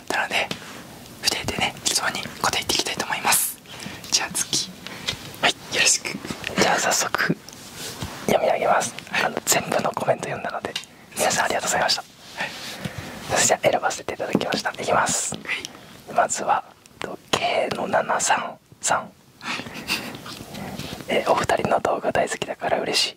もので筆でね質問に答えていきたいと思いますじゃあ次はいよろしくじゃあ早速読み上げます、あの全部のコメント読んだので皆さんありがとうございました、はい、そ選ばせていただきましたいきます、まずは K の733お二人の動画大好きだから嬉しい。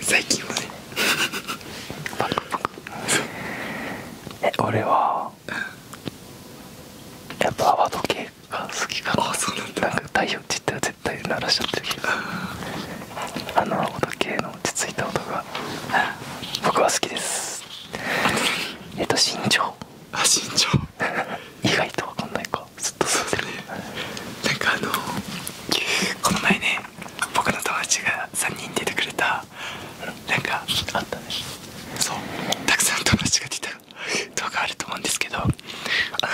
最近はねえ俺はやっぱ泡時計が好きかななんか太陽って言ったら絶対鳴らしちゃってるけどあの泡時計の落ち着いた音が僕は好きですえっと身長あ身長 意外と分かんないかはずっとそうだね、なんかあのこの前ね僕の友達が3人出てくれたなんかあったねそうたくさん友達が出た 動画あると思うんですけどあの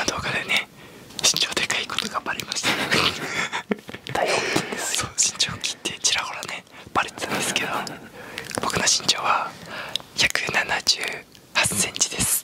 動画でね身長でかいことがバレましたね。大きんですそう身長を切ってちらほらねバレてたんですけど僕の身長は1 7 8センチです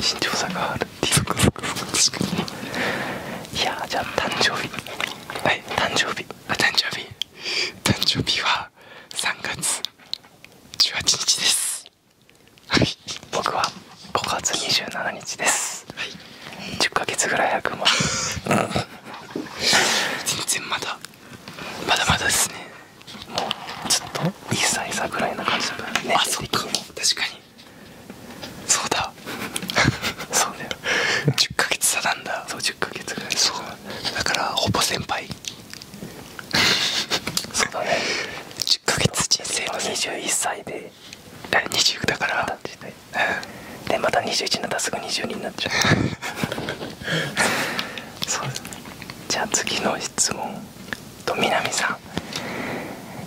身長差があるいやじゃあ誕生日はい誕生日誕生日誕生日は3月18日ですはい僕は5月27日ですはい10ヶ月ぐらい早くも 全然まだまだまだですねもうずっとね歳差ぐらいな感じだからねあそっかも、確かにそうだ そうだよ10ヶ月差なんだそう10ヶ月ぐらいそうだからほぼ先輩 そうだね10ヶ月人生の21歳で20だからでまた21になったらすぐ22になっちゃう そうじゃあ次の質問と南さ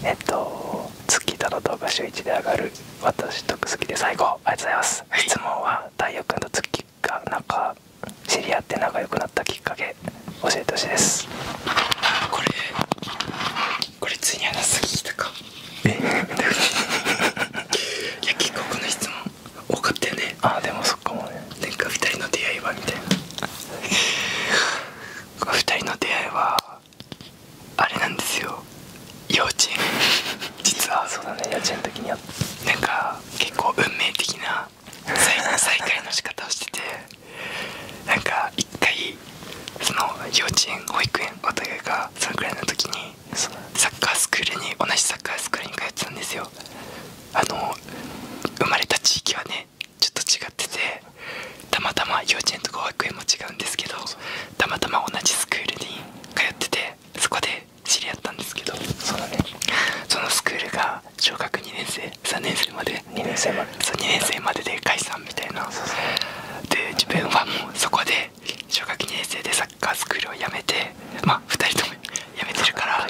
んえっと月との動画週一で上がる私と好きで最高ありがとうございます、い、質問は太陽君と月が仲知り合って仲良くなったきっかけ教えてほしいですあこれこれついに話す聞いかえ いや結構この質問多かったよねあでもそっかもねなんか2人の出会いはみたいな2人の出会いはあれなんですよ幼稚園 実はそうだね幼稚園の時にやなんか結構運命的な 再会の仕方をしててなんか1回その幼稚園保育園お互いがそのくらいの時にサッカースクールに同じサッカースクールに通ってたんですよあの生まれた地域はちょっと違っててたまたま幼稚園とか保育園も違うんですけどたまたま同じスクールに通っててそこで知り合ったんですけどそうねそのスクールが小学2年生3年生まで2年生までそう2年生までで解散みたいなで自分はもうそこで小学2年生でサッカースクールを辞めてま2人とも辞めてるから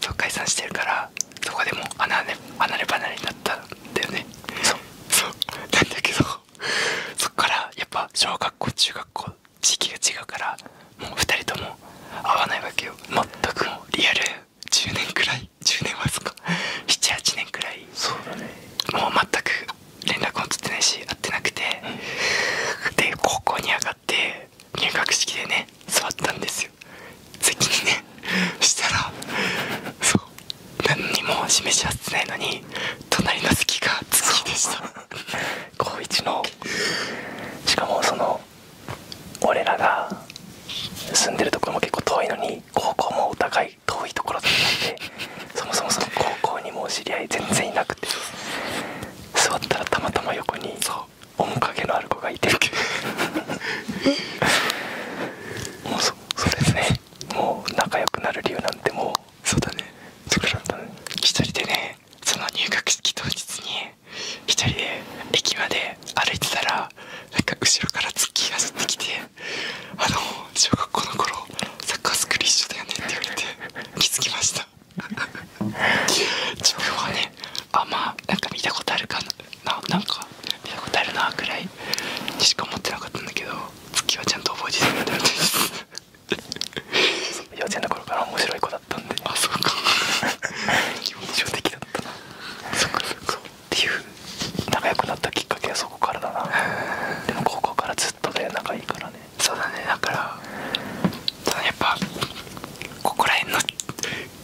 そう解散してるからそこでもう離れ離れ離れになったんだよねそうそうなんだけどそっからやっぱ小学校中学校時期が違うからもう2人とも会わないわけよ全くもうリアル10年くらい10年はそっか78年くらいそうだねもう全く連絡も取ってないし会ってなくて、で高校に上がって入学式でね座ったんですよでにねしたらそう何にも示し合ってないのに隣の席が月でした高一のしかもその俺らが住んでるところも結構遠いのに高校もお互い遠いところだったんでそもそもその高校にも知り合い全然いなくて座ったらたまたま横にそう面影のある子がいてもうそうですねもう仲良くなる理由なんてもうそうだねだから一人でねその入学式当日に一人で駅まで歩いてたらなんか後ろから突ッキー走ってきて「あの小学校の頃サッカースクール一緒だよね」って言われて気づきました情報 はねあんまなんか見たことあるかななんか見たことあるなぐらいにしか思ってなかったんだけど月はちゃんと覚えてるんだよ。みた 幼稚園の頃から面白い子だったんであそうか 印象的だったなそっかそっかっていう仲良くなったきっかけはそこからだなでも高校からずっとね、仲いいからねそうだねだからそのやっぱここら辺の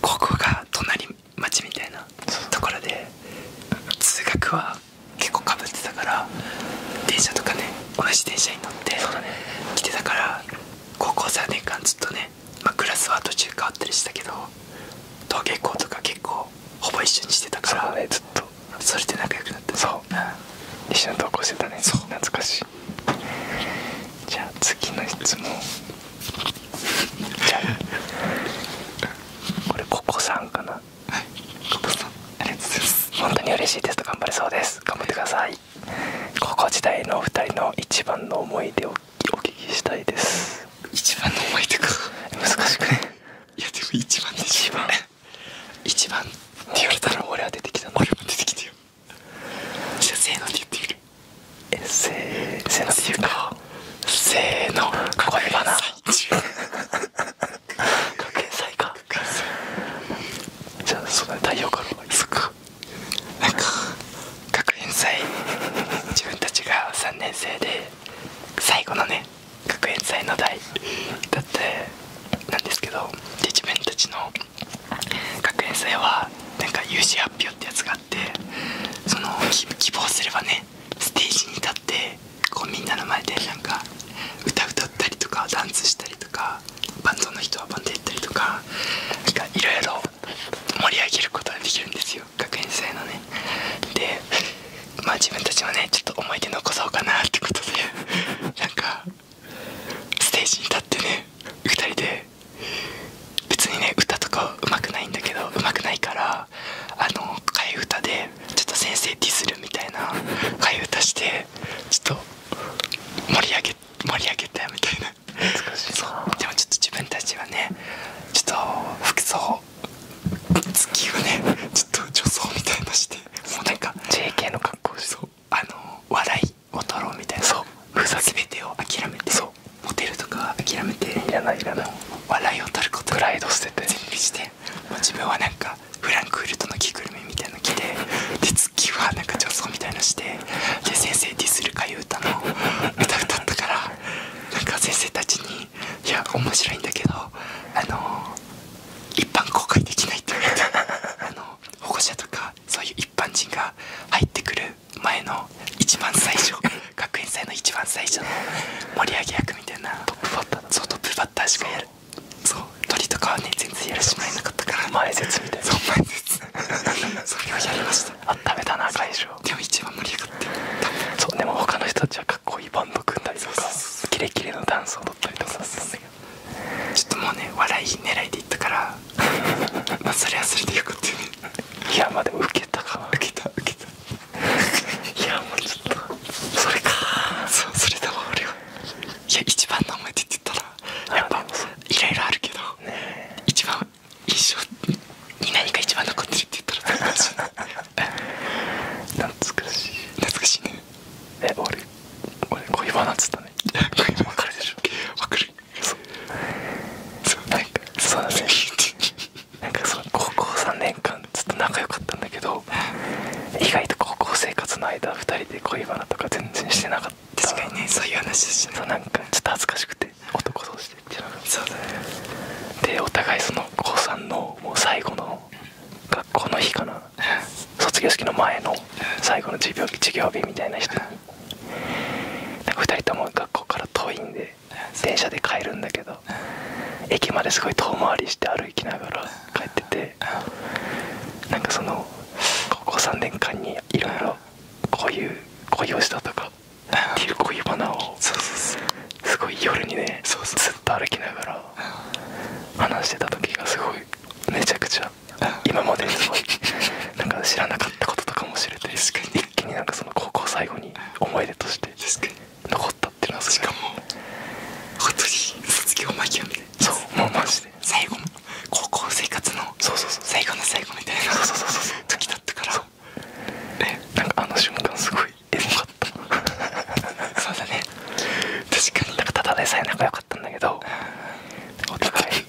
ここが隣街みたいなところで通学は結構かぶってたから電車とかね同じ電車に乗って来てたから高校3年間ずっとね、まあ、クラスは途中変わったりしたけど登下校とか結構ほぼ一緒にしてたからそうねずっとそれで仲良くなったそう、一緒に登校してたねそう懐かしいじゃあ次の質問 これココさんかなはいココさんありがとうございます本当に嬉しいですと頑張れそうです頑張ってください高校時代のお二人の一番の思い出をお聞きしたいです一番の思い出か難しくないやでも一番でしょ一番番って言われたら俺は出てきたの俺も出てきたよじゃあせのって言ってみるせーせのっていうかせーの声がな学園祭かじゃあその太陽かなんか学園祭自分たちが3年生で最後のね学園祭の代だってなんですけどで自分たちの学園祭はなんか有志発表ってやつががその希望すればねステージに立ってこうみんなの前でなんか歌歌ったりとかダンスしたりとかバンドの人はバンドやったりとかなんかいろいろ盛り上げることができるんですよ学園祭のねでまあ自分たちもねちょっと思い出残そうかなってことでなんかステージに立ってね2人で別にね歌とかうまくないんだけどうまくないからあの替え歌でちょっと先生ディスるみたいな替え歌してちょっと盛り上げ盛り上げたみたいなでもちょっと自分たちはねちょっと服装月をねちょっと女装みたいなしてもうなんか JK の格好でそうあの笑いを取ろうみたいなそうふざ全てを諦めてそうモテるとか諦めていらないいな笑いを取ることプライド捨てて全部しても自分はなんかフランクフルトの着ぐるみみたいなの着てで月はなんか女装みたいなしてで先生ディスるかいう歌の歌歌ったからなんか先生たちに「いや面白いんだけどあの一般公開できない」って言われてあの保護者とかそういう一般人が入ってくる前の一番最初学園祭の一番最初の盛り上げ役みたいなトップバッターそうトップバッターしかやるそう鳥とかはね全然やるしまいなかったから前説みたいなそう前説 それをやりましたあっためだな会場でも一番盛り上がってそうでも他の人たちはかっこいいバンド組んだりとかキレキレのダンスを踊ったりとかだっただけどちょっともうね笑い狙いでいったから まあそれ忘れてよかったよねいやまあでもウケたかなウケたウケた いやもうちょっとそれかそれだわ俺はいや一番の思いって言ったらやっぱいろいろあるけど、一番一緒。に何か一番残ってるって言ったら懐かしい懐かしいねえ俺俺恋バナっつったね 恋バナ分かるでしょ分かるそうそなんかそうなんですねなんかその高校3年間ずっと仲良かったんだけど意外と高校生活の間2人で恋バナとか全然してなかった確かにねそういう話だしねそなんかちょっと恥ずかしくて男同士でっていうのがそうだでお互いその高3のもう最後の学校の日かな卒業式の前の最後の授業日みたいな人なんか2人とも学校から遠いんで電車で帰るんだけど駅まですごい遠回りして歩きながら帰っててなんかその高校3年間にいろいろこういう恋をしたとかっていう恋バナをすごい夜にねずっと歩きながら話してた時がすごいめちゃくちゃ今までにすごいなんか知らなかったこととかも知れて一気になんかその高校最後に思い出として残ったっていうのはしかも本当に卒業間際みたいなそうもうマジで最後も高校生活の最後の最後みたいな時だったからなんかあの瞬間すごいエモかったそうだね確かになんかただでさえ仲良かったんだけどお互い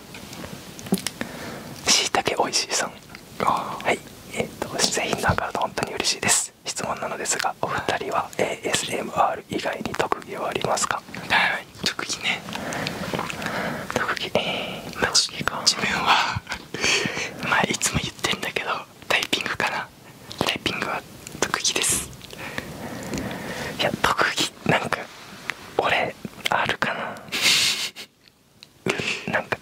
しいたけおいしいさんはいえっ、ー、と製品が上がると本当に嬉しいです質問なのでお二人は ASMR 以外に特技はありますかはい特技ね特技えー、まあ、自分は まあいつも言ってんだけどタイピングかなタイピングは特技ですいや特技なんか俺あるかななんか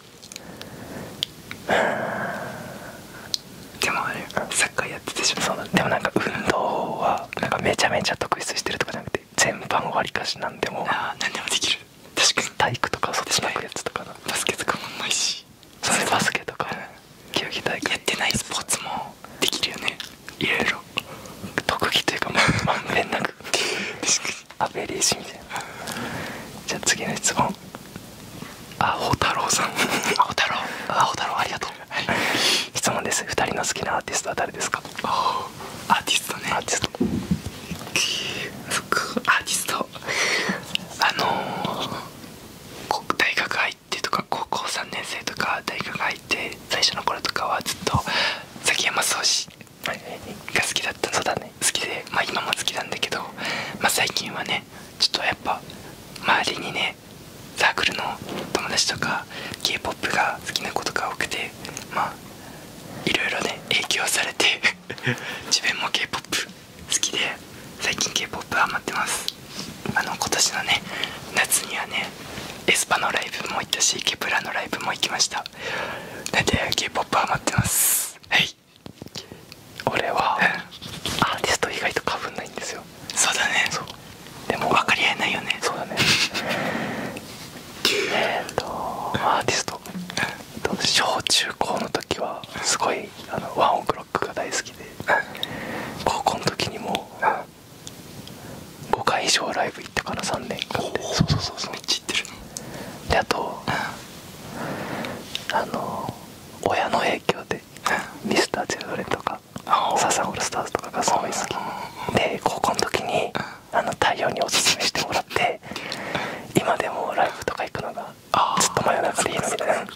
でもあれサッカーやっててしょそうでもなんか運動はなんかめちゃめちゃ特意してるとかじゃなくて全般わりかし何でも何でもできる確かに体育とかそっちのやつとかバスケとかもうまいしそうれバスケとか、うん、競技大会やってないスポーツもできるよねいろいろ特技というかまんべんなくアベレージみたいなじゃあ次の質問あ、アホ太郎さんアホ太郎アホ太郎ありがとう、質問です2人の好きなアーティストは誰ですかアーティストねアーティストそっかアーティストあのー、大学入ってとか高校3年生とか大学入って最初の頃とかはずっと崎山壮志が好きだったそうだね好きでまあ今も好きなんだけど、まあ、最近はねちょっとやっぱ周りにねサークルの友達とか k p o p が好きな子とか多くてまあいろいろね影響されて 自分も k p o p 好きで最近 k p o p ハマってますあの今年のね夏にはねエスパのライブも行ったしケプラのライブも行きましたなんで k p o p ハマってますはい俺は、アーティスト意外とかぶんないんですよそうだねそうでも分かり合えないよねそうだねえっとアーティスト小中高の時はすごいあのワンオクロックが大好きで高校の時にも5回以上ライブ行ったから3年間でそうそうそうそうめっちゃ行ってるであと、あの親の影響で、うん、ミスターチルドレとかサザンオールスターズとかがすごい好きで高校の時にあの太陽におすすめしてもらって今でもライブとか行くのがずっと真夜中でいいのみたいなず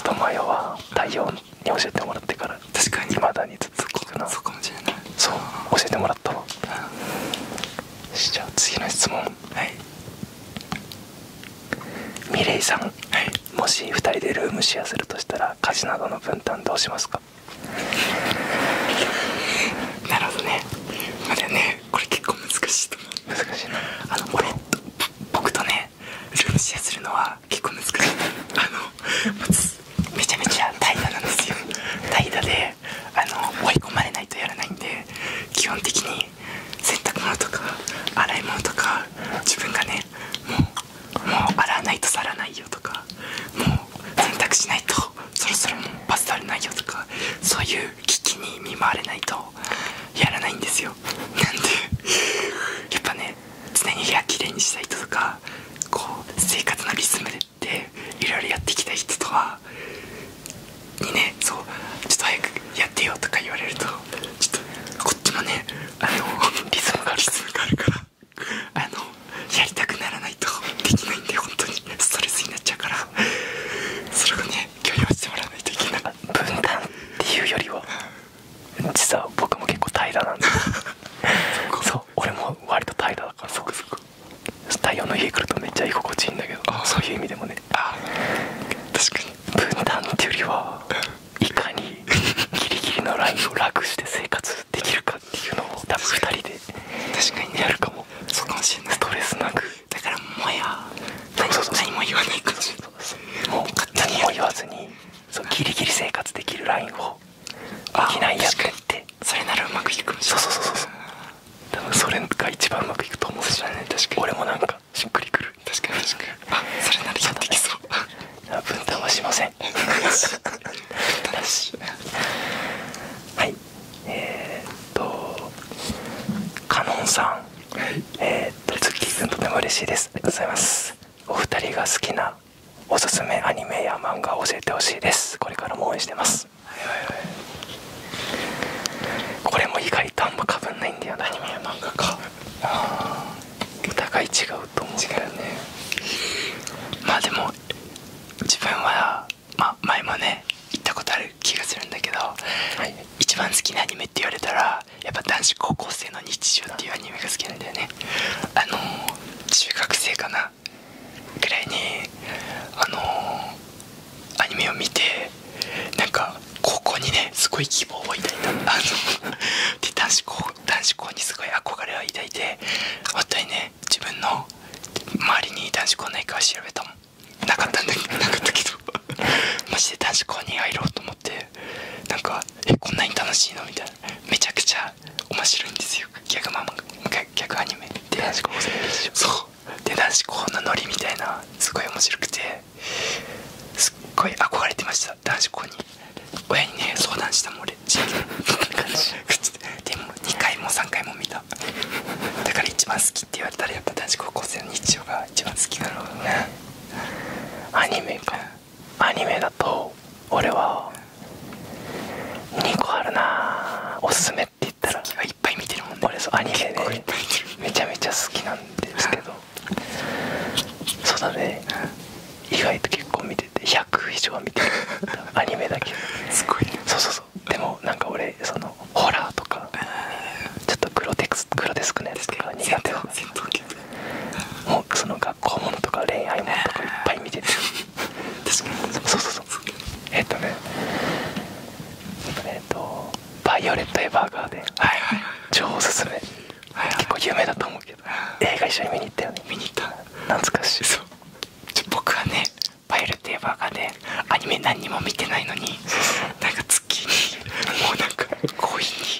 っと真夜は太陽教えてもらってから確かにまだに続くなそうかもしれないそう教えてもらったわ、じゃあ次の質問はいミレイさん、はい、もし2人でルームシェアするとしたら家事などの分担どうしますかなるほどねまだねこれ結構難しい難しいなあの俺僕とねルームシェアするのは結構難しいあのめちゃめちゃ怠惰なんですよ怠惰であの追い込まれないとやらないんで基本的に洗濯物とか洗い物とか自分がねもうもう洗わないと去らないよとかもう洗濯しないとそろそろもうバスタれないよとかそういう危機に見舞われないとやらないんですよなんでやっぱね常に部屋きれにしたい人とかこう生活のリズムでいろいろやってきた人とはにねそうちょっと早くやってよとか言われるとちょっとこっちもねあのリズムがリズムがあるからあのやりたくならないとできないんで本当にストレスになっちゃうからそれをね許容してもらわないといけない分担っていうよりは。実は僕も結構怠惰なんで 俺も割と怠惰だからそこそこ太陽の家来るとめっちゃ居心地いいんだけどそういう意味でもね確かに分断っていうよりはいかにギリギリのラインを楽して生活できるかっていうのを多分2人で確かにやるかもそうしれストレスなくだからもや何も言わないかもしれないもう何も言わずにそうギリギリ生活できるラインををきなりやっってそれならうまくいくそうそうそうそう多分それが一番うまくいくと思うし、ね、確かに俺もなんかしっくりくる確かに確かにあそれならやってきそう分担はしません正しいはいえっとかのんさん、えっとズッキー君とても嬉しいですありがとうございますお二人が好きなおすすめアニメや漫画教えてほしいですこれからも応援してます、はいはいはい、これも意外とあんまかぶんないんだよなアニメや漫画かあお互い違うと思うまあでも自分は、まあ、前もね行ったことある気がするんだけど、一番好きなアニメって言われたらやっぱ男子高校生の日常っていうアニメが好きなんだよねあの中学生かなぐらいにあのアニメを見てなんか高校にねすごい希望を抱いたあの で男子校男子校にすごい憧れを抱いて本当にね自分の周りに男子校ないか調べたもんなかったんだけどなかったけど マジで男子校に入ろうと思ってなんかえこんなに楽しいのみたいなめちゃくちゃが面白いんですよギャグマン逆アニメで男子高生でしょそで男子校のノリみたいなすごい面白くてすっごい憧れてました男子校に親にね相談したもん俺地域でも2回も3回も見ただから一番好きって言われたらやっぱ男子高校生の日常が一番好きだろアニメかアニメだと俺は2個あるなおすすめって言ったらいっぱい見てるもんね俺そうアニメで、ね、めちゃめちゃ好きなんですけどそうだね意外と結構見てて100以上見てるアニメだけすごいねそうそうそうでもなんか俺そのホラーとかちょっとグロテクスグロテスクなやつとか苦手だかも うその学校ものとか恋愛ものとかいっぱい見てて確かにそうそうそうえっとねえっと「バイオレット・エヴァーガーデン」はいはいはい超おすすめ、はいはい、結構有名だと思うけど映画一緒に見に行ったよね見に行った懐かしいそうちょ僕はね「バイオレット・エヴァーガーデン」アニメ何にも見てないのになんか月にもうなんか恋に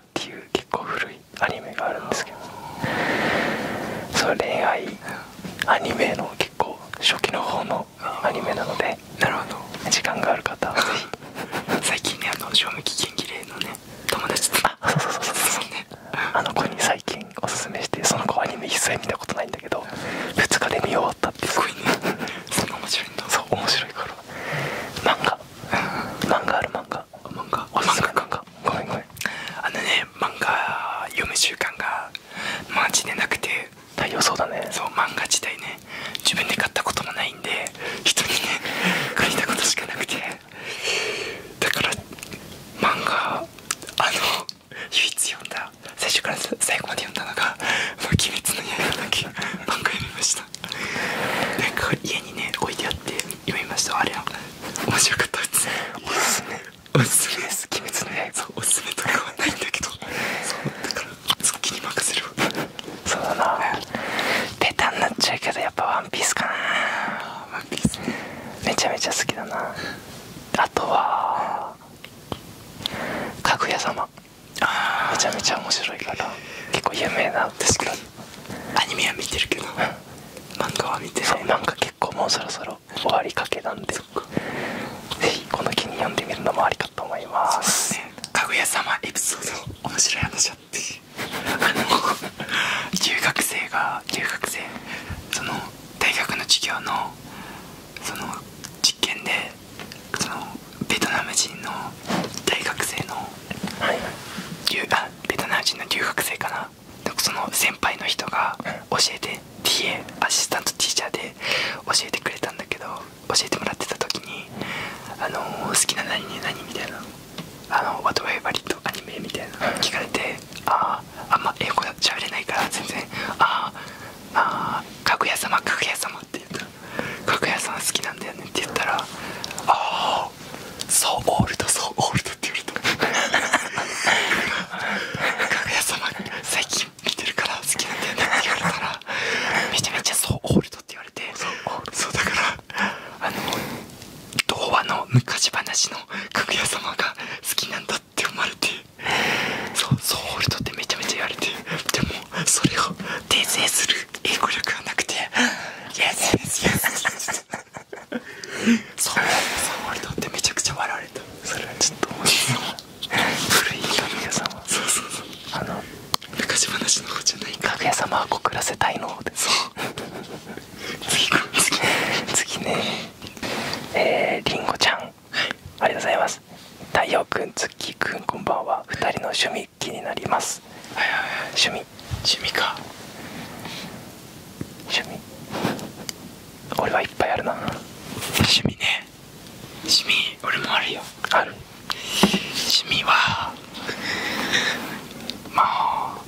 っていう結構古いアニメがあるんですけどその恋愛アニメの結構初期の方のアニメなのでなるほど時間がある方はぜひ 最近ねあの賞味期限切れのね友達とあそうそうそうそうそうそう、ね、あの子に最近おすすめしてその子アニメ一切見たことないんだけど2日で見終わったってすごいねそんな面白いんだそう面白いから漫画漫画ある漫画漫画漫画。すめ漫画ごめんごめんあのね漫画読む習慣がマジでなくて大量そうだねそう漫画自体ね自分で買ったこともないんで人にね 借りたことしかなくてだから漫画あの唯一読んだ最初から最後まで読んだのが「鬼滅の刃」だけ漫画読みましたさなんか家にね置いてあって読みましたあれは面白かったですおすすめおすすめです鬼滅ねそうおすすめとかはないんだけどそうだからそっきに任せるそうだなペタンになっちゃうけどやっぱワンピースかなワンピースめちゃめちゃ好きだなあとはかぐや様マめちゃめちゃ面白いから結構有名なんですけど、アニメは見てるけど、漫画は見てない漫か結構もうそろそろ終わりかけなんでぜひこの気に読んでみるのもありかと思いますかぐや様エピソード面白い話あってあの中 学生が中学生その大学の授業のその実験でそのベトナム人の大学生の、はい、あベトナム人の留学生かなその先輩の人が教えて TA アシスタントティーチャーで教えてくれたんだけど教えてもらってた時に「あの好きな何ね何?」みたいな「あのワ h a t f a v o アニメ?」みたいな聞かれて「あああんま英語喋れないから全然ああああかぐや様かぐや様」っ屋さん好きなんだよね」って言ったら「ああそうオールドそうオールド」って言われた「かぐや様最近見てるから好きなんだよね」って言われたらめちゃめちゃそうオールドって言われてそうだからあの童話の昔話のかぐや様が好きなんだって思われてそうオールドってめちゃめちゃ言われてでもそれを訂正する英語力がなくて「そうめちゃくちゃ笑われた古いかぐや様そあの昔話様は告らせたいの次ねえー、りんごちゃん、ありがとうございます太陽くん、ツこんばんは。二人の趣味気になります。はいはいはい趣味趣味か趣味俺はいっぱいあるな趣味ね趣味俺もあるよある趣味はまあ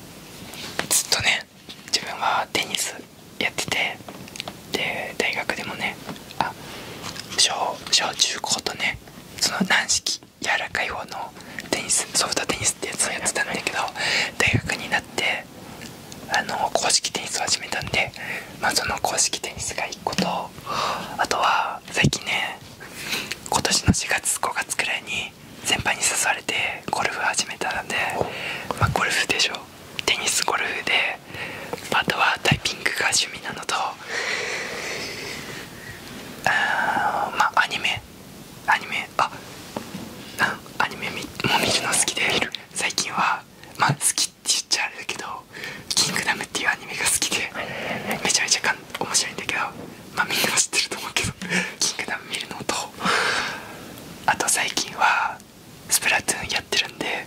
ずっとね自分はテニスやっててで大学でもね小小中高とねその軟式柔らかい方のテニスソフトテニスってやつをやってたんだけど大学になってあの公式テニスを始めたんで、まあ、その公式テニスが1ことあとは最近ね今年の4月5月くらいに先輩に誘われてゴルフ始めたので、まゴルフでしょテニスゴルフであとはタイピングが趣味なのとあまあアニメアニメあアニメも見るの好きで最近はま好きって言っちゃあれだけど「キングダム」っていうアニメが好きでめちゃめちゃ面白いんだけどまみんな知ってると思うけど「キングダム」見るのとあと最近は「スプラトゥーン」やってるんで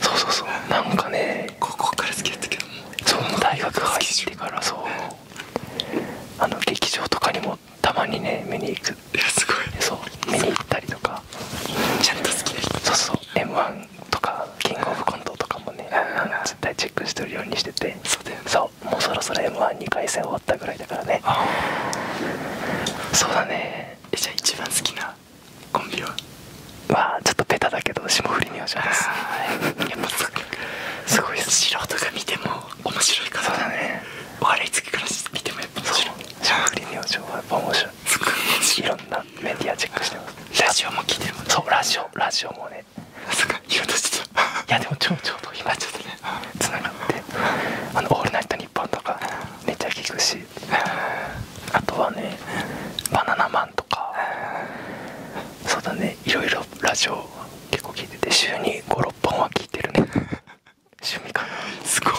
そうそうそうなんかね高校から好きだっけどもそう大学入ってからそうあの劇場とかにもたまにね見に行くいやすごいそう見に行ったりとかちゃんと好きなそうそう m 1とかキングオブコントとかもね絶対チェックしてるようにしててそうだよ、そうもうそろそろ m 1 2回戦終わったぐらいだからねそうだねじゃあ一番好きなコンビははちょっとペタだけど霜降り明星ですやっぱすごい素人が見ても面白いかそうだね悪い月から見てもやっぱ面白霜降り明星はやっぱ面白いすごい面白いろんなメディアチェックしてますラジオも聞いてるそうラジオラジオもねそっか言おうとしていやでもちょうちょうど今ちょっとねつながって「あのオールナイトニッポン」とかめっちゃ聞くしあとはねバナナマンとかそうだねいろいろラジオ結構聞いてて週に56本は聞いてるね 趣味かなすごい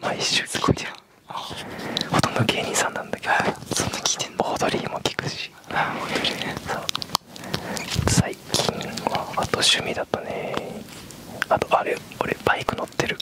毎週すごいてるほとんど芸人さんなんだけど、そんな聞いてんのオードリーも聞くし最近はあと趣味だとねあとあれ俺バイク乗ってる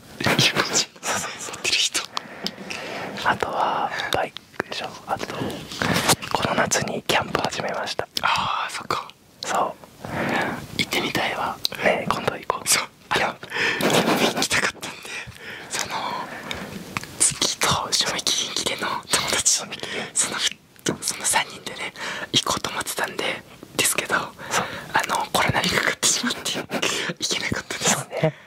持ってる人あとはバイクでしょあとこの夏にキャンプ始めましたああそっかそう行ってみたいわね今度行こうそうあャンプ行きたかったんでその月と賞味期限切れの友達とそのその3人でね行こうと思ってたんでですけどあのコロナにかかってしまって 行けなかったですね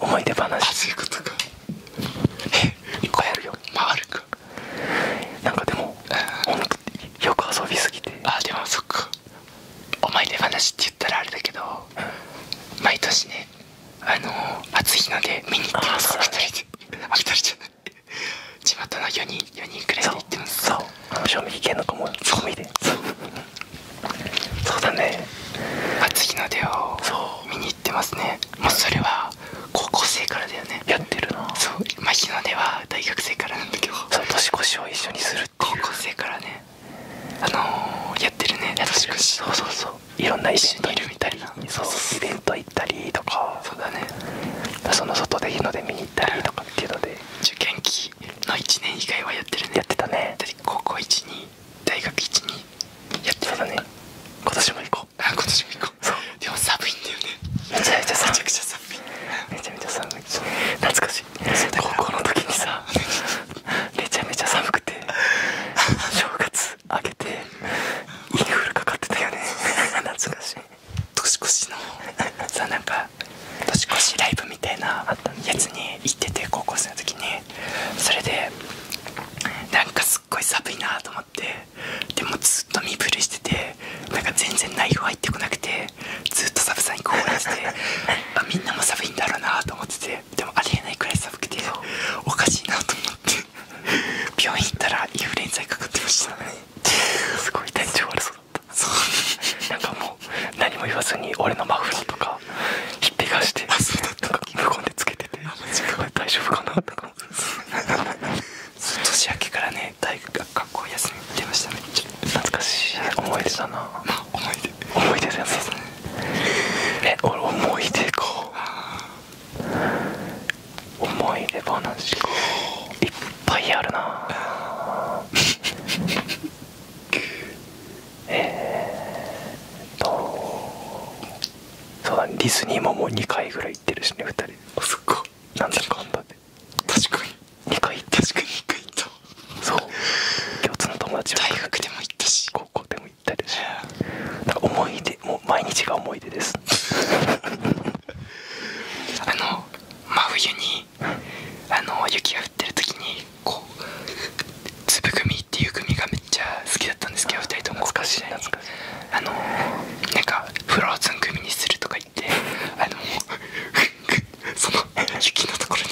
思い出話っなんかでもよく遊びすぎてあでもそっか思い出話って言ったらあれだけど、毎年ねあの暑いので見に行っます2人2人じゃない地元の4人4人くらいで行ってますそうそうそうそうだねで初日の出を見に行ってますねうそれは高校生からだよねやってるなそう今日の出は大学生からなんだけど年越しを一緒にするって高校生からねあのやってるね年越しそそうそういろんなイベンいるみたいなイベント行ったりとかそうだねその外で日の出見に行ったりとかっていうので受験期の1年以外はやってるねやってたね高校大学1にやってたね今年も行こう今年も行こうそうでも寒いんだよねめちゃめちゃ寒いめちゃめちゃ寒い懐かしい高校の時にさ めちゃめちゃ寒くて正月明けてインフルかかってたよね懐かしい年越しのさ なんか年越しライブみたいなやつに行ってて高校生の時にそれでなんかすっごい寒いなと思ってでもずっと身震いしててなんか全然内容入ってこなくてずっと寒さに凍らせて あみんなも寒いんだろうなと思っててでもありえないくらい寒くておかしいなと思って病院行ったらインフルエンザにかかってましたねすごい体調悪そうだったそうなんかもう何も言わずに俺のマフラーとかひっぺがしてなんか無言でつけてて大丈夫かなとか年明けからね大学学校休み行ってましたねちょ懐かしい思い出だな、まあ、思い出思い出だよねえ俺思い出か思い出話かいっぱいあるな えーっとそうディズニーももう2回ぐらい行ってるしね2人あそっかなんだかんだで確かに2回行って確かに2回行そう共通の友達大学でも行ったし高校でも行ったりしだから思い出もう毎日が思い出です あの真冬にあの雪が降ってる時にこう粒組っていう組がめちゃ好きだったんですけど2人とも高校時代にあのー、なんかフローズン組にするとか言って その雪のところに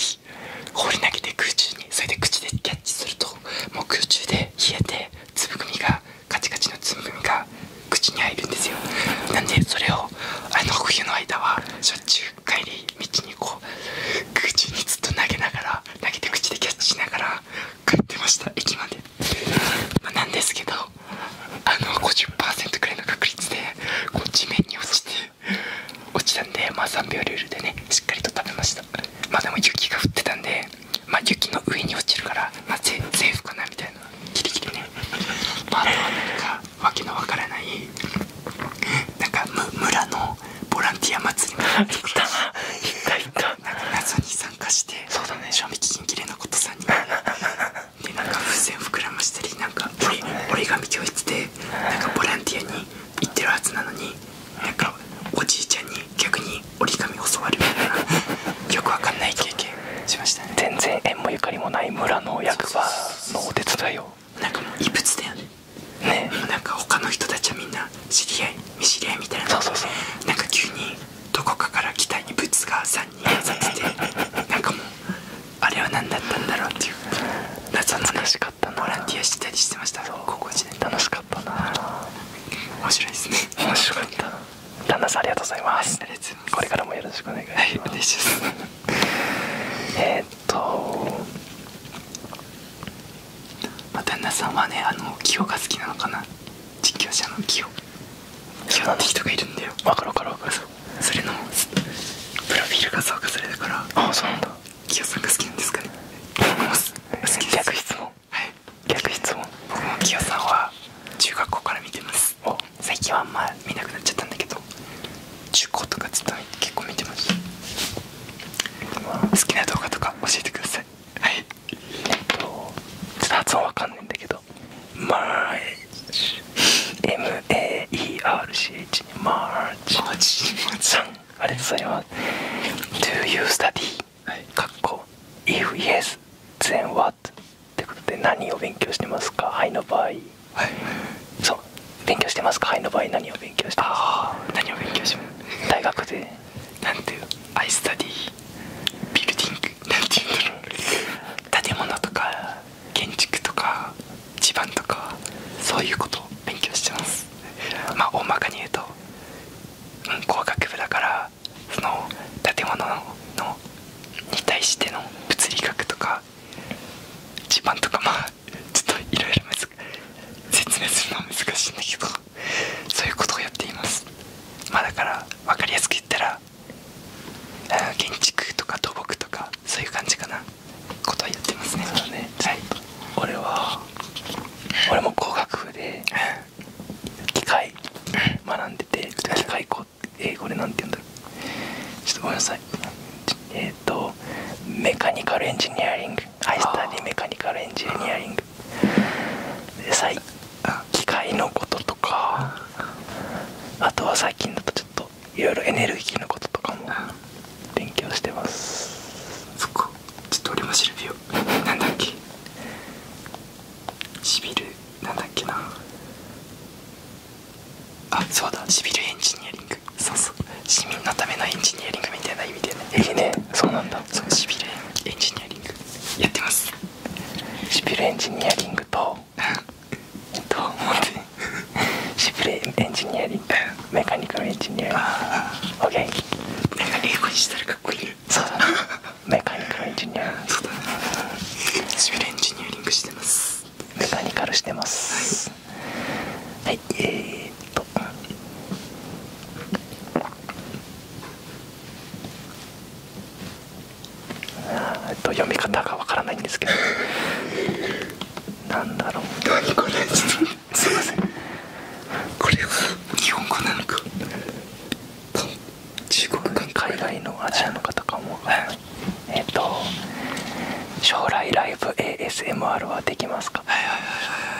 放り投げて空中にそれで口でキャッチするともう空中で冷えてつ粒組がカチカチのつ粒組が口に入るんですよなんでそれをあの冬の間はしょっちゅう帰り道にこう空中にずっと投げながら投げて口でキャッチしながら帰ってました駅まで、まなんですけどあの50%くらいの確率でこう地面に落ちて落ちたんでまあ3秒ルールでねしっかりと食べましたまあでも雪が降ってたんでま雪の上に落ちるからまセーフかなみたいなギリギリねまあとはなんかわけのわからないなんか村ののボランティア祭りみたいなところに謎に参加して賞味期限切れのことさにでなんか風船膨らましたりなんか折り,、紙教室でなんかボランティアに行ってるはずなのになんかおじいちゃんに逆に折り紙教わるみたいなよくわかんない経験しましたね全然縁もゆかりもない村の役場のお手伝いをなんかもう異物ねなんか他の人たちはみんな知り合い見知り合いみたいなそうそうそなんか急にどこかから機体にぶつが3人刺さって なんかもうあれは何だったんだろうっていう夏の、楽しかったボランティアしてたりしてました高校時代楽しかったな面白いですね面白かった旦那さんありがとうございますこれからもよろしくお願いします、えっとまあ、旦那さんはねあのキヨが好きなのかな実況者のキヨキヨって人がいるんだよ分かる分かる分かるそれのプロフィール画像がそれだからああそうなんだキヨさんが好きなんですかね好きです逆質問はい逆質問僕もキさんは中学校から見てます最近はあんま見なくなっちゃったんだけど中高とか結構見てまし好きな動画とか教えてくださいはいえっとちょっと発音わかんないんだけどマーチ M-A-E-R-C-H マーチマーチさんありがとうございます Do you study? かっこ If yes, then what? ってことで何を勉強してますかはいの場合はいそう勉強してますかはいの場合何を勉強してますか何を勉強します大学でなんていうアイスタディビルディングなんていうんだろう建物とか建築とか地盤とかそういうことを勉強してますまあ大まかに言うと、うん、工学部だからその建物のに対しての物理学とか地盤とかまあちょっといろいろ説明するのは難しいんだけどそういうことをやっていますまあだから分かりやすく言ったら建築とか土木とかそういう感じかなことはやってますねそうねはい俺は俺も工学部で機械学んでて機械工英語でなんて言うんだろうちょっとごめんなさいえっ、とメカニカルエンジニアリングアイスタディメカニカルエンジニアリングで最機械のこととかあとは最近だとちょっといろいろエネルギーのこととかも勉強してますそっかちょっと俺も調べようなんだっけしびる。なんだっけなあそうだしびるエンジニアリングそうそう市民のためのエンジニアリングみたいな意味でねええねそうなんだそうシビルエンジニアリングやってますシビルエンジニアリングとと思っシビルエンジニアリングメカニカルエンジニアリングオッケーなか英語にしたらかっこいいそうだメカニカルエンジニアリングシビルエンジニアリングしてますメカニカルしてます、はいえー、っとえっと読み方がわからないんですけどなんだろう何これちょっとすいませんこれは日本語なのか中国か海外のアジアの方かもえっと将来ライブ ASMR はできますか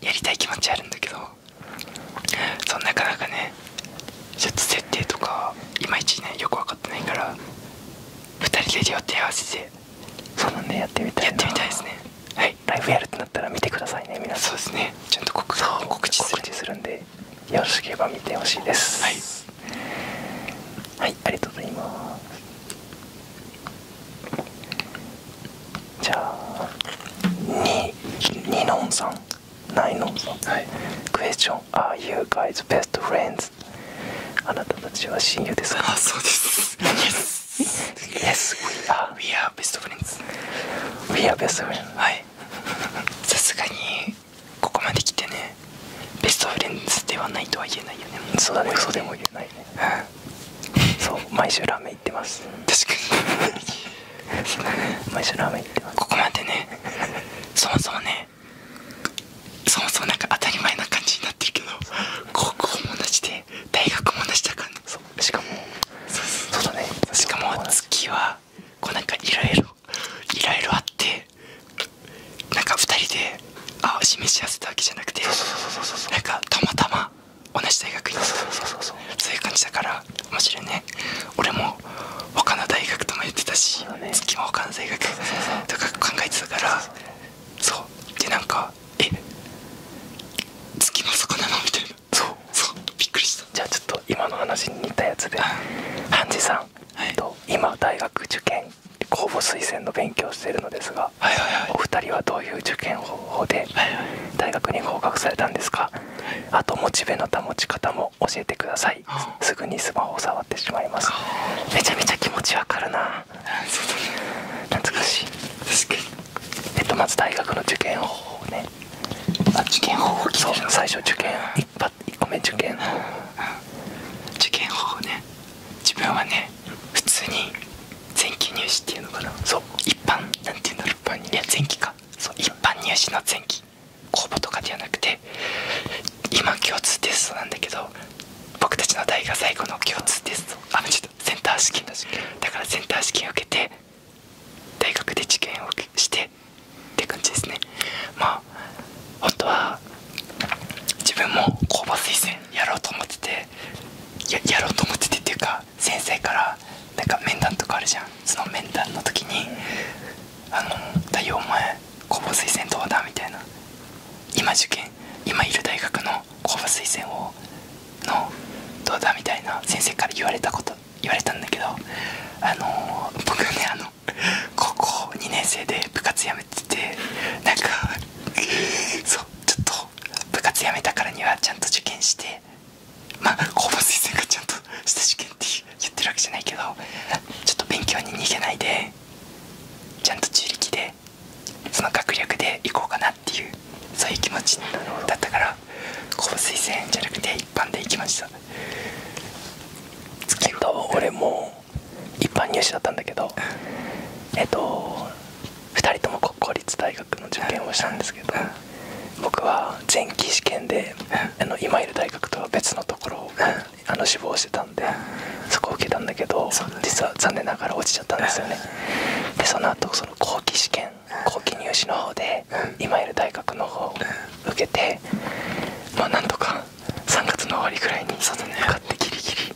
やりたい気持ちあるんだけどそうなかなかねちょっと設定とかいまいちねよく分かってないから2人で両手合わせてそうなんでやってみたいやってみたいですねはいライブやるってなったら見てくださいね皆さんそうですねちゃんと告知するんでよろしければ見てほしいですはい、はい、ありがとうございますじゃあニノンさんナのノさん、はい、クエスチョン Are you guys best あなたたちは親友ですああそうです Yes Yes we are We are best friends We are best friends はいさすがにここまですてねベストフレンズではないとは言えないよねそうだね嘘です言えないね、うん、そう毎週ラーメン行ってます確かにここまでねそもそもねそもそもなんか当たり前な感じになってるけど高校も同じで大学も同じだからしかもそうだねしかも月はこうなんかいろいろいろいろあってなんか2人であ示し合わせたわけじゃなくてなんかたまたま同じ大学院そうそうそうそういう感じだから面白いね俺も他の大学とも言ってたし、ね、月も他の大学とか考えてたからそうでなんかえ月もそこなのみたいなそうそうびっくりしたじゃあちょっと今の話に似たやつではンジさん、はい、と今大学受験公募推薦の勉強してるのですが、はいはいはい、お二人はどういう受験方法で大学に合格されたんですか、あとモチベの保ち方も教えてくださいすぐにスマホを触ってしまいますめちゃめちゃ気持ちわかるな懐かしい確かにえっとまず大学の受験方法ねあ受験方法そう最初受験 1, 個目受験方法受験方法ね自分はね普通に前期入試っていうのかなそう一般なんていうんだろ一般いや前期かそう一般入試の前期公募とかではなくて今共通テストなんだけど僕たちの大学最後の共通テストあちょっとセンター試験だからセンター試験を受けて大学で受験をしてって感じですねまあ本当は自分も公募推薦やろうと思っててやろうと思っててっていうか先生からなんか面談とかあるじゃんその面談の時に「あの太陽お前公募推薦どうだ?」みたいな今受験今いる大学の公募推薦をのどうだみたいな先生から言われたこと言われたんだけどあの僕ねあの高校2年生で部活やめててなんかそうちょっと部活やめたからにはちゃんと受験してまあ高校推薦がちゃんと下た試験って言ってるわけじゃないけどちょっと勉強に逃げないでちゃんと自力でその学力で行こうかなっていうそういう気持ちだったから高校推薦じゃなくて一般で行きましたえっと俺も一般入試だったんだけどえっと2人とも国公立大学の受験をしたんですけど。僕は前期試験であの今いる大学とは別のところをあの志望してたんでそこを受けたんだけど実は残念ながら落ちちゃったんですよねでその後その後期試験後期入試の方で今いる大学の方を受けてまあなんとか3月の終わりくらいに受かってギリギリ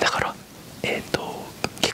だからえっ、と結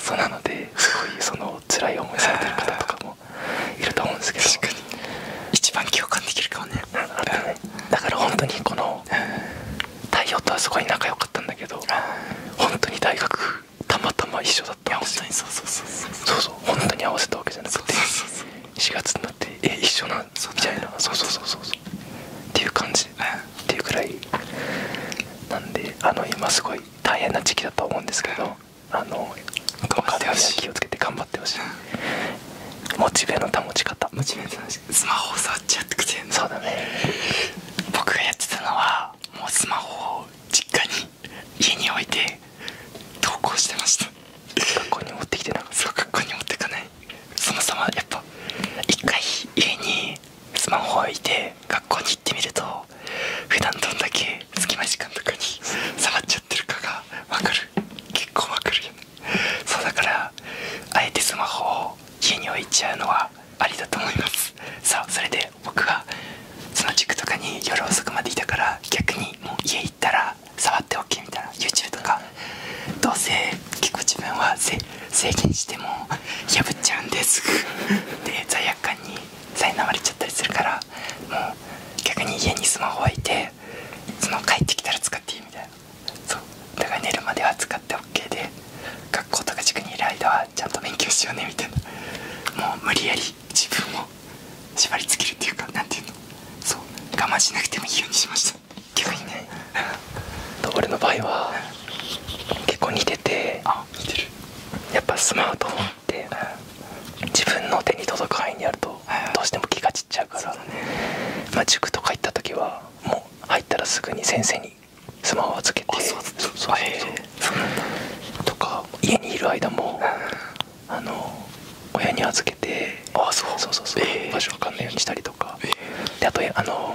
そうなのですごいその辛い思いされてる方とかもいると思うんですけど一番共感できるかもねだから本当にこの太陽とはすごい仲良かったんだけど本当に大学たまたま一緒だったんですよそうそうそうそうそう本当に合わせたわけじゃなくて4月になってえ一緒なんみたいなそうそうそうそうっていう感じっていうくらいなんであの今すごい大変な時期だと思うんですけどあの風は気をつけて頑張ってほしい、モチベの保ち方モチベの保ち方スマホ触っちゃってくてそうだね僕がやってたのはもうスマホを実家に家に置いて投稿してました学校に持ってきてなかったそう学校に持ってかないそもそもやっぱ一回家にスマホ置いて学校に行ってみると普段どんだけ隙間時間とかに触っちゃってるかがわかる結構わかるよねそうだからあえてスマホを家に置いちゃうのはありだと思いますさあそれで僕がその塾とかに夜遅くまでいたから逆にもう家行ったら触っておけみたいな YouTube とかどうせ結構自分は制限しても破っちゃうんですで罪悪感に苛まれちゃったりするからもう逆に家にスマホ置いてその帰ってきたら使っていいみたいなそうだから寝るまでは使って OK で学校とか塾にいる間はちゃんと勉強しようねみたいなもう無理やり自分を縛りつけるっていうか何ていうのそう我慢しなくてもいいようにしました逆にね 俺の場合は結構似ててやっぱスマートフォンって、自分の手に届く範囲にあると、どうしても気が散っちゃうから、まあ、塾とか行った時はもう入ったらすぐに先生にスマホを預けてとか家にいる間も、あの親に預けてああ、そうそうそうそう、えー、場所わかんないようにしたりとか、えー、であとあの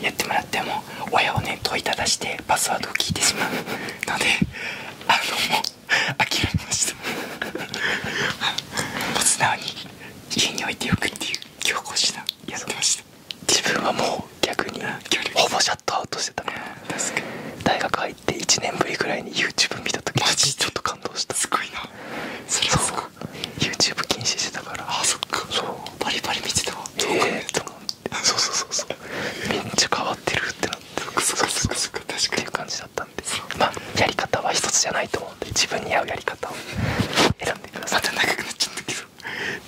やってもらっても親をね問いただしてパスワードを聞いてしまうのであのもう諦めましたもう素直に家に置いておくっていう強行手段やって自分はもう逆にほぼシャットアウトしてたか確かに大学入って1年ぶりぐらいに YouTube 見た時マちょっと感動したすごいなそれはすごい YouTube 禁止してたからあそっかそうバリバリ見てたわそうそうそうそうめっちゃ変わってるってなってそそそそ確かっていう感じだったんでまあやり方は一つじゃないと思うんで自分に合うやり方を選んでくださいまた長くなっちゃったけど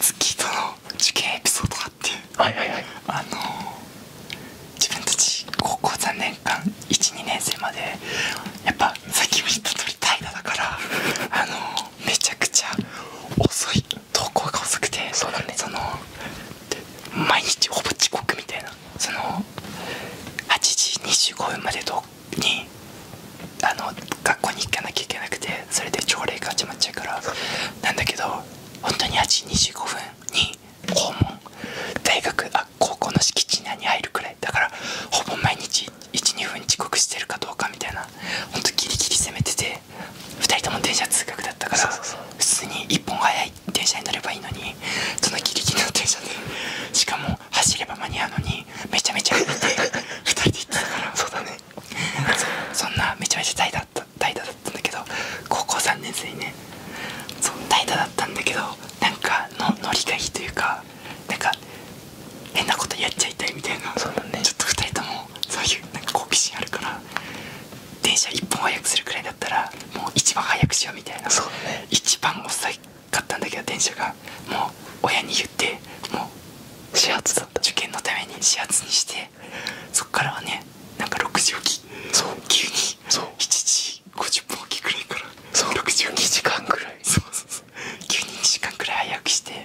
月との受験エピソードがあってはいはいはいあの自分たち高校3年間12年生までやっぱさも言通り怠惰だからあのめちゃくちゃ遅い投稿が遅くてそうだねその毎日ほぼ遅刻みたいなその8時25分までとにあの学校に行かなきゃいけなくてそれで朝礼が始まっちゃうからなんだけど本当に8時25分に校門大学あ高校の敷地内に入るくらいだからほぼ毎日12分遅刻してるかどうかみたいなほんとギリギリ攻めてて2人とも電車通学だったから普通に1本早い電車に乗ればいいのにそのギリギリの電車でしかも走れば間に合うのにめちゃめちゃ歩いて2人で行ってたからそうだねそんなめちゃめちゃ怠惰だった怠惰だったんだけど高校3年生にねそう怠惰だったんだけどなんかの乗りがいいというかなんか変なことやっちゃいたいみたいなそうだねちょっと2人とももそういうなんか好奇心あるから電車1本早くするくらいだったらもう一番早くしようみたいな一番遅いかったんだけど電車がもう親に言ってもう始発だった受験のために始発にしてそっからはねなんか6時起きそう急にそう7時50分起きくらいからそう6時起2時間くらいそうそうそう急に2時間くらい早くして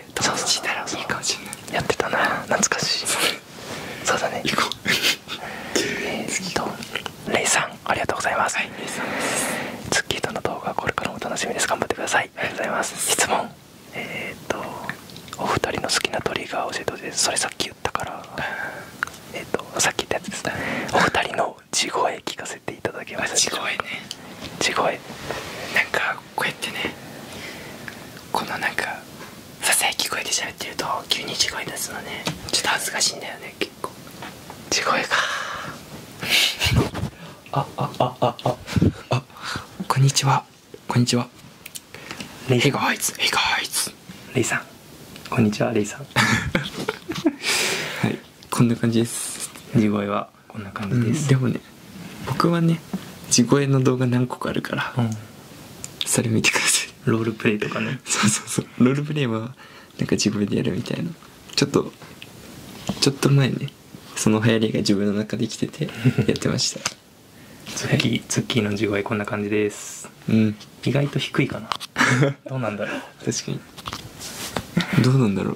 友達いいいかもやってたな懐かしいそうだねえっとレイさんありがとうございます、はい、レイさんですツッキーとの動画これからも楽しみです頑張ってくださいありがとうございます質問えっ、とお二人の好きなトリガー教えてほいでそれさっき言ったからえっとさっき言ったやつですねお二人の地声聞かせていただきます地声ね地声はなんかこうやってねこのなんかささやき声で喋ってると急に地声出すのねちょっと恥ずかしいんだよね結構地声か ああああああこんにちはこんにちはレイさんレイさんこんにちはレイさん はいこんな感じです地声はこんな感じです、でもね僕はね地声の動画何個かあるから、それ見てくださいロールプレイとかね そうそうそうロールプレイはなんか自分でやるみたいなちょっとちょっと前ねその流行りが自分の中できてて やってましたズッキー、はツッキーの地声こんな感じです、うん、意外と低いかなどうなんだろう 確かにどうなんだろう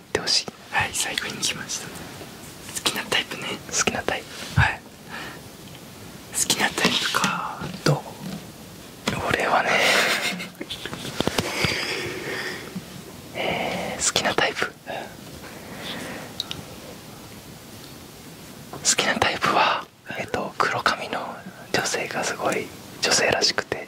ってほしいはい最後に来ました好きなタイプね好きなタイプはい好きなタイプかど俺はね えー、好きなタイプ好きなタイプはえっと黒髪の女性がすごい女性らしくて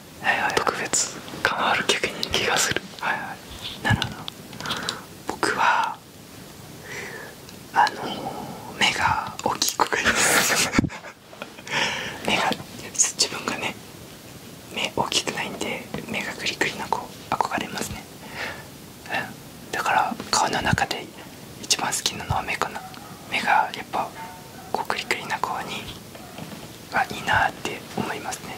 はいはい、特別感ある曲に気がするはいはいなるほど僕はあの目が大きい子がいる。目が自分がね目大きくないんで目がグリグリな子憧れますねだから顔の中で一番好きなのは目かな目がやっぱこうクリクリな子にがいいなって思いますね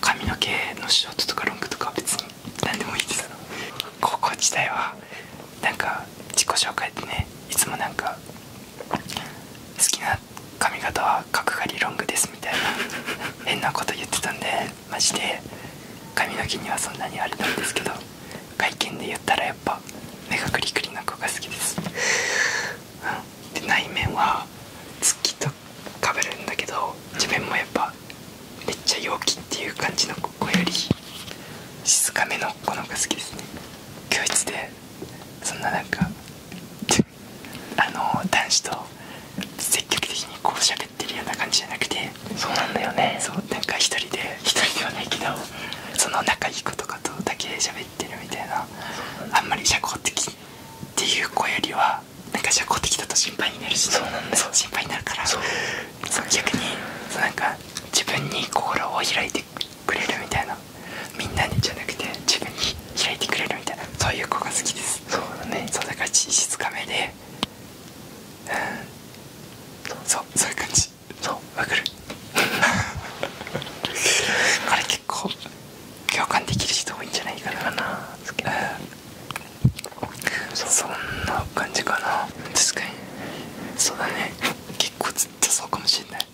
髪の毛のショートとかロングとか別に何でもいいです高校時代はなんか自己紹介ってねいつもなんか好きな髪型は角刈りロングですみたいな 変なこと言ってたんでマジで髪の毛にはそんなにあれなんですけど外見で言ったらやっぱ目がクリクリな子が好きですで内面は月とかぶるんだけど自分もやっぱめっちゃ陽気っていう感じの子より静かめの子の方が好きですね教室でそんななんか あの男子と積極的にこう喋ってるような感じじゃなくてそうなんだよねそうなんか一人で一人ではないけどその仲いい子とかとだけ喋っべってるみたいなあんまり社交的っていう子よりはなんか社交的だと心配になるし、ね、心配になるからそう逆になんか自分に心を開いてくれるみたいなみんなにじゃなくて自分に開いてくれるみたいなそういう子が好きですそうだねそうだから静かめでうんそうそういう感じそうわかる これ結構共感できる人多いんじゃないかな好そんな感じかな確かにそうだね結構ずっとそうかもしれない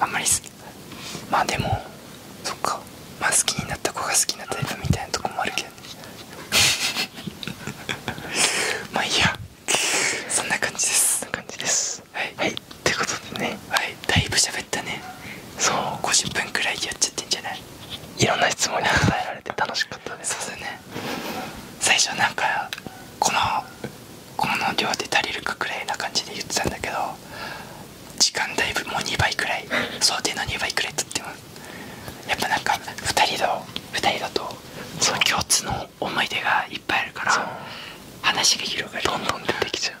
あんまりまあでもそっかまあ好きになった子が好きなタイプみたいなとこもあるけど まあいいやそんな感じですそんな感じですますはいはいってことでねはいだいぶ喋ったねそう50分くらいやっちゃってんじゃないいろんな質問に答えられて楽しかったですそうだね最初なんかこのこの量で足りるかくらいな感じで言ってたんだけど時間だいぶもう2倍くらい想定の2倍くらいとってもやっぱなんか2人と2人だとその共通の思い出がいっぱいあるから話が広がりどんどん出てきちゃう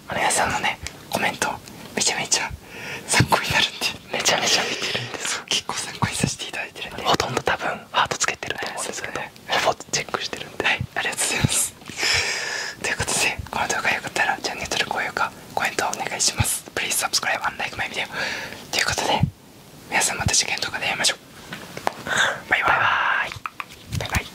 おさんのねコメントめちゃめちゃ参考になるんでめちゃめちゃ見てるんですよ。結構参考にさせていただいてるんでほとんど多分ハートつけてると思うんですけどほぼチェックしてるんではいありがとうございますということでこの動画が良かったらチャンネル登録高評価コメントお願いします Please subscribe and l i k ということで皆さんまた次回の動画で会いましょうバイバイバイバイ